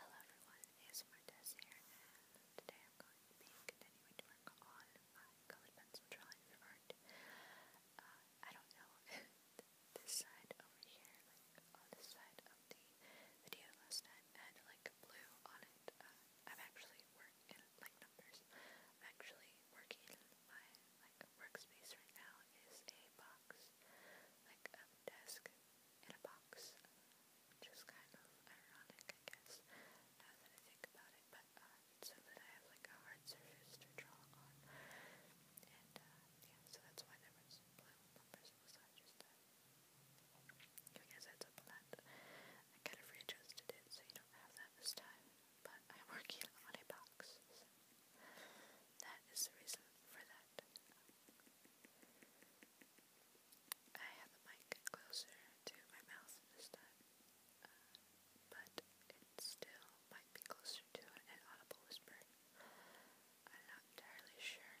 Hello everyone, ASMR Des here, today I'm going to be continuing to work on my colored pencil drawing uh, I don't know, this side over here, like on this side of the video last night, I like blue on it. Uh, I'm actually working, like numbers, I'm actually working my like workspace right now is a box, like a desk in a box, which kind of ironic, I guess, now that I think about it, but uh, so that I have like a hard surface to draw on, and uh, yeah, so that's why there was blue numbers, it was not just that. I guess that's a blend. I kind of readjusted it, so you don't have that this time, but I'm working on a box, that is the reason for that. I have the mic closer to my mouth this time, uh, but it still might be closer to an audible whisper. I'm not entirely sure.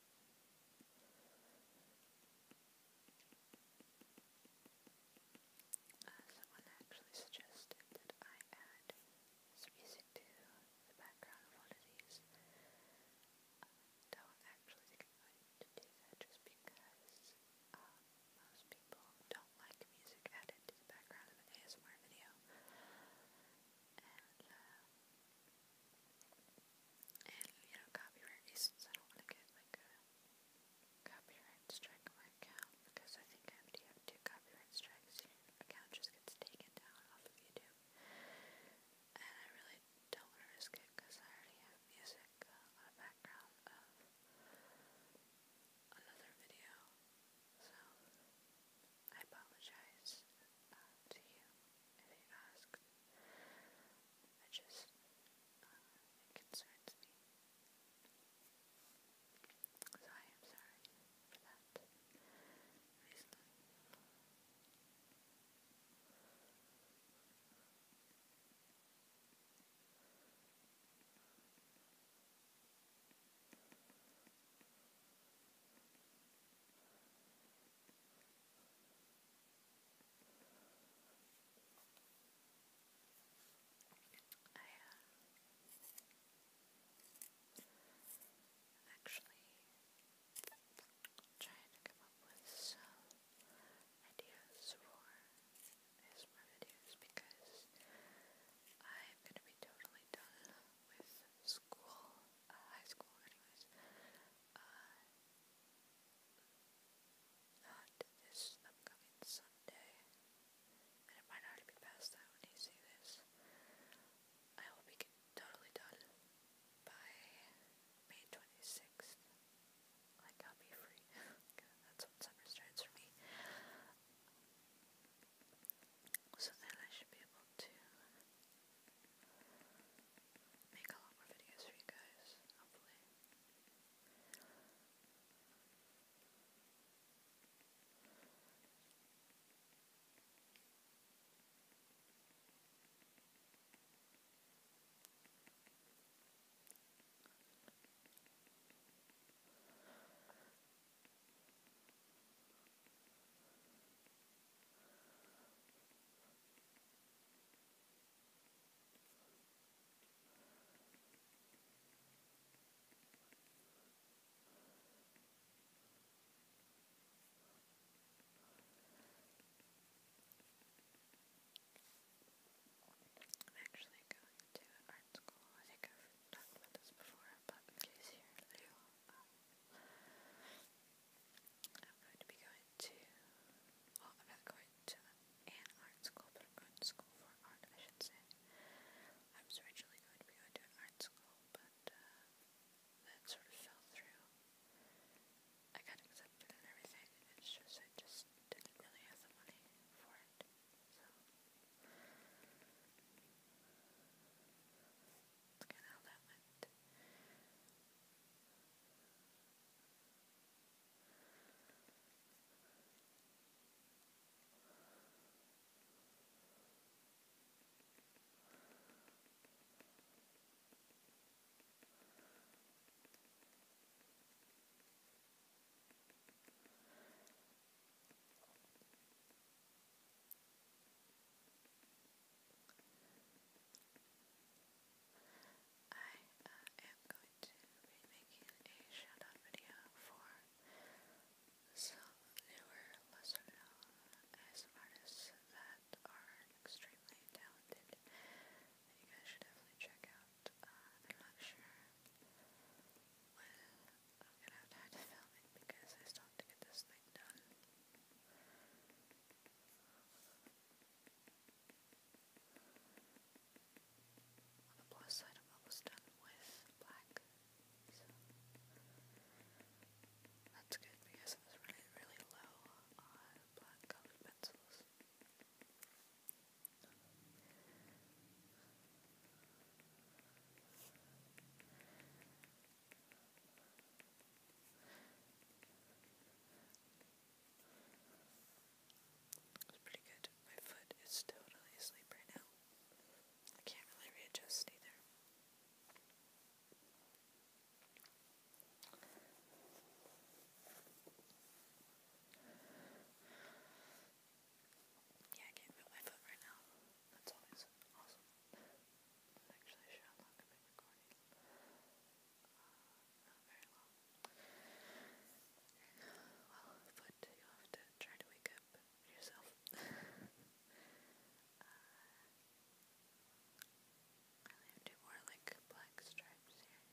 Uh, someone actually suggested that I add some music to the background I don't actually think to do that just because um, most people don't like music added to the background of an ASMR video. Uh, you know, copyright reasons, I don't want to get like a copyright strike on my account because I think after you have two copyright strikes, your account just gets taken down off of YouTube. And I really don't want to risk it because I already have music uh, on background of another video. So, I apologize uh, to you if you asked. I just, uh, So I am sorry for that I uh, actually trying to come up with some ideas for ASMR videos because I'm going to be totally done with school uh, high school anyways, uh, not this upcoming Sunday, and it might already be past that when you see this, I will be totally done by May 26th, like I'll be free, that's when summer for me, so then I should be able to make a lot more videos for you guys, hopefully. I'm actually going to art school. I think I've talked about this before, but in case you I'm going to be going to, I'm not going to art school, but I'm going to school for art, I should say. I was originally going to be going to an art school, but uh, that sort of fell through. I got accepted and everything, and just, I just didn't really have the money for it, that's kind of how that went. I uh, am going to be making a shout video for some newer, lesser known as that are extremely talented you guys should definitely check out. I'm not sure I'm going have to to film it because I still to get this thing done. the plus side, I'm almost done with black, that's good because I was really low on black colored pencils. It's pretty good. My foot is totally asleep right now. I can't really readjust either. Yeah, I can't move my foot right now that's always awesome. Actually, sure, how long I've recording. not very long. Well, but you have to try to wake up yourself. uh, I have two more like black stripes here.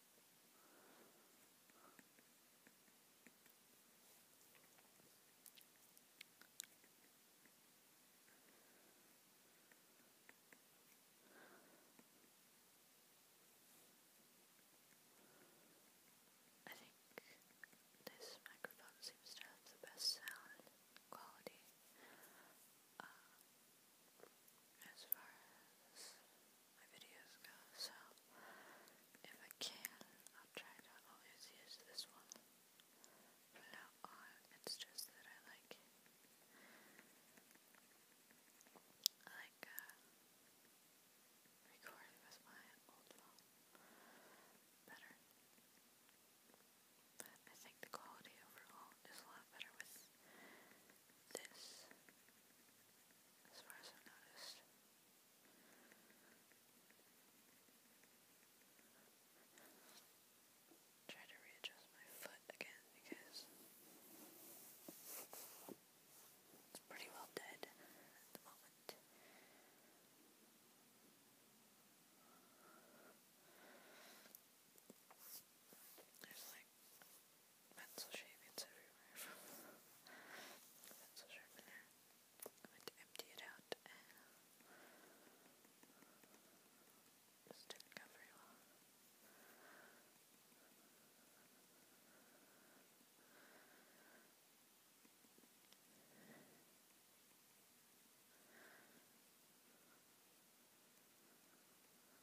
I think this microphone seems to have the best sound quality uh, as far as my videos go, so if I can, I'll try to always use this one. But not it's just that I like I like uh, recording with my old phone better. I think the quality overall is a lot better with this as far Try to readjust my foot again because it's pretty well dead at the moment. There's like pencil shape everywhere pencil sharpener. I'm to empty it out and this didn't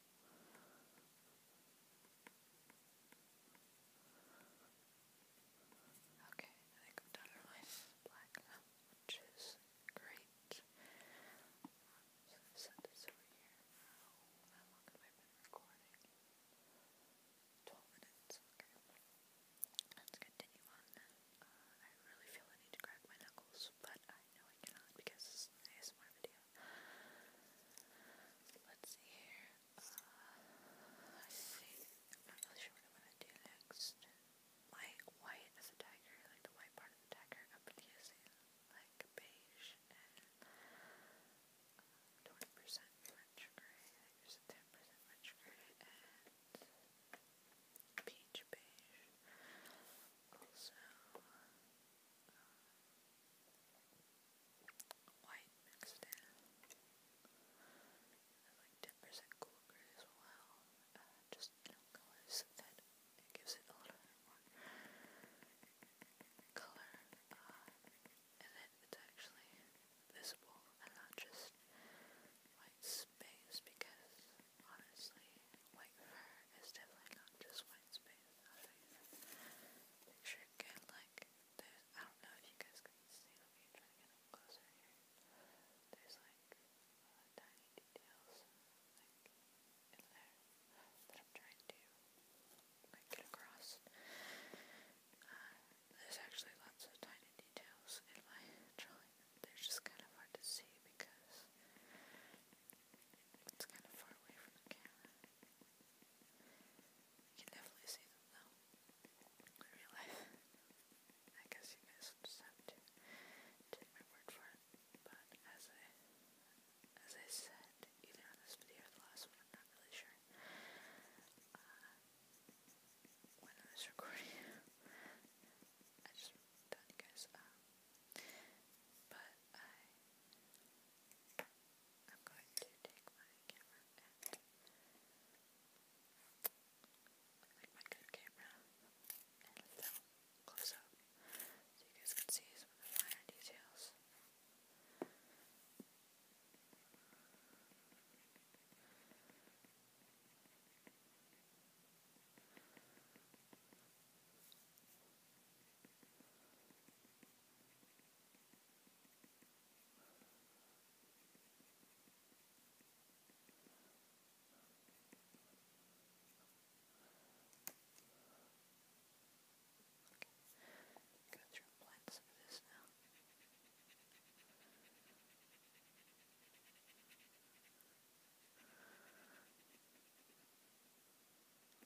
Okay, I think I've done my black which is great. So I've over here. how long have I been recording? 12 minutes, okay. Let's continue on. Uh, I really feel I need to crack my knuckles, but uh, no, I cannot because this is video. Let's see here. Uh, I see. I'm not really sure what I'm gonna do next. My white as a tiger, like the white part of the tiger, I've like beige and uh, twenty percent French gray. There's ten percent French gray and peach beige. Also, white mixed in. like 10% cooler as well. Uh, just, you know, colors that gives it a little more color. Uh, and then it's actually visible and not just white space because honestly, white fur is definitely not just white space. Make sure you get like there's I don't know if you guys can see let me try to get up closer here. There's like tiny details like I'm trying to get across. Uh, there's actually lots of tiny details in my drawing. They're just kind of hard to see because it's kind of far away from the camera. You can definitely see them though. In real life. I guess you guys will just take my word for it. But as I as I said, either on this video or the last one, I'm not really sure. Uh, when I was recording I just done you guys um but I am going to take my camera like my good camera and film close up so you guys can see some finer details. Go through and blend some of this now.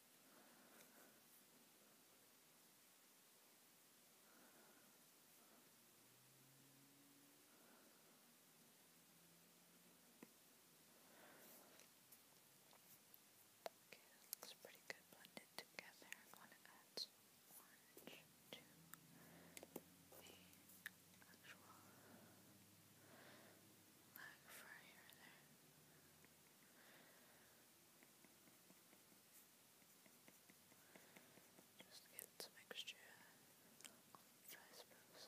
Okay, that looks pretty good blended together. I'm going to add some orange to the actual lag fur here and there. Just get some extra I suppose.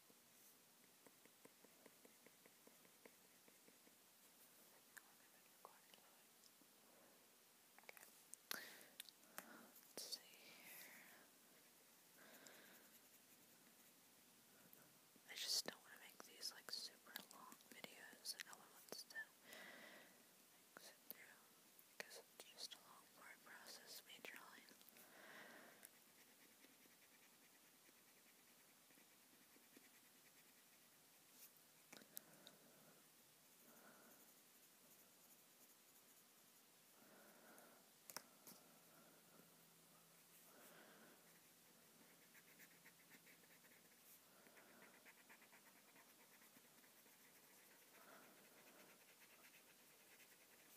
Let's I just don't want to make these like super long videos and other that doesn't just allow for a process we drawing. Thank you.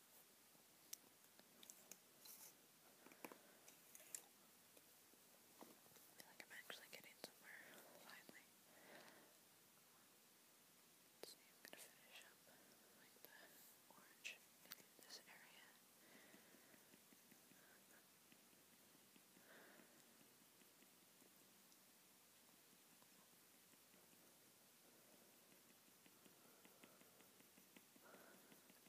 I feel like I'm actually getting somewhere finally. let I'm gonna finish up like the orange in this area.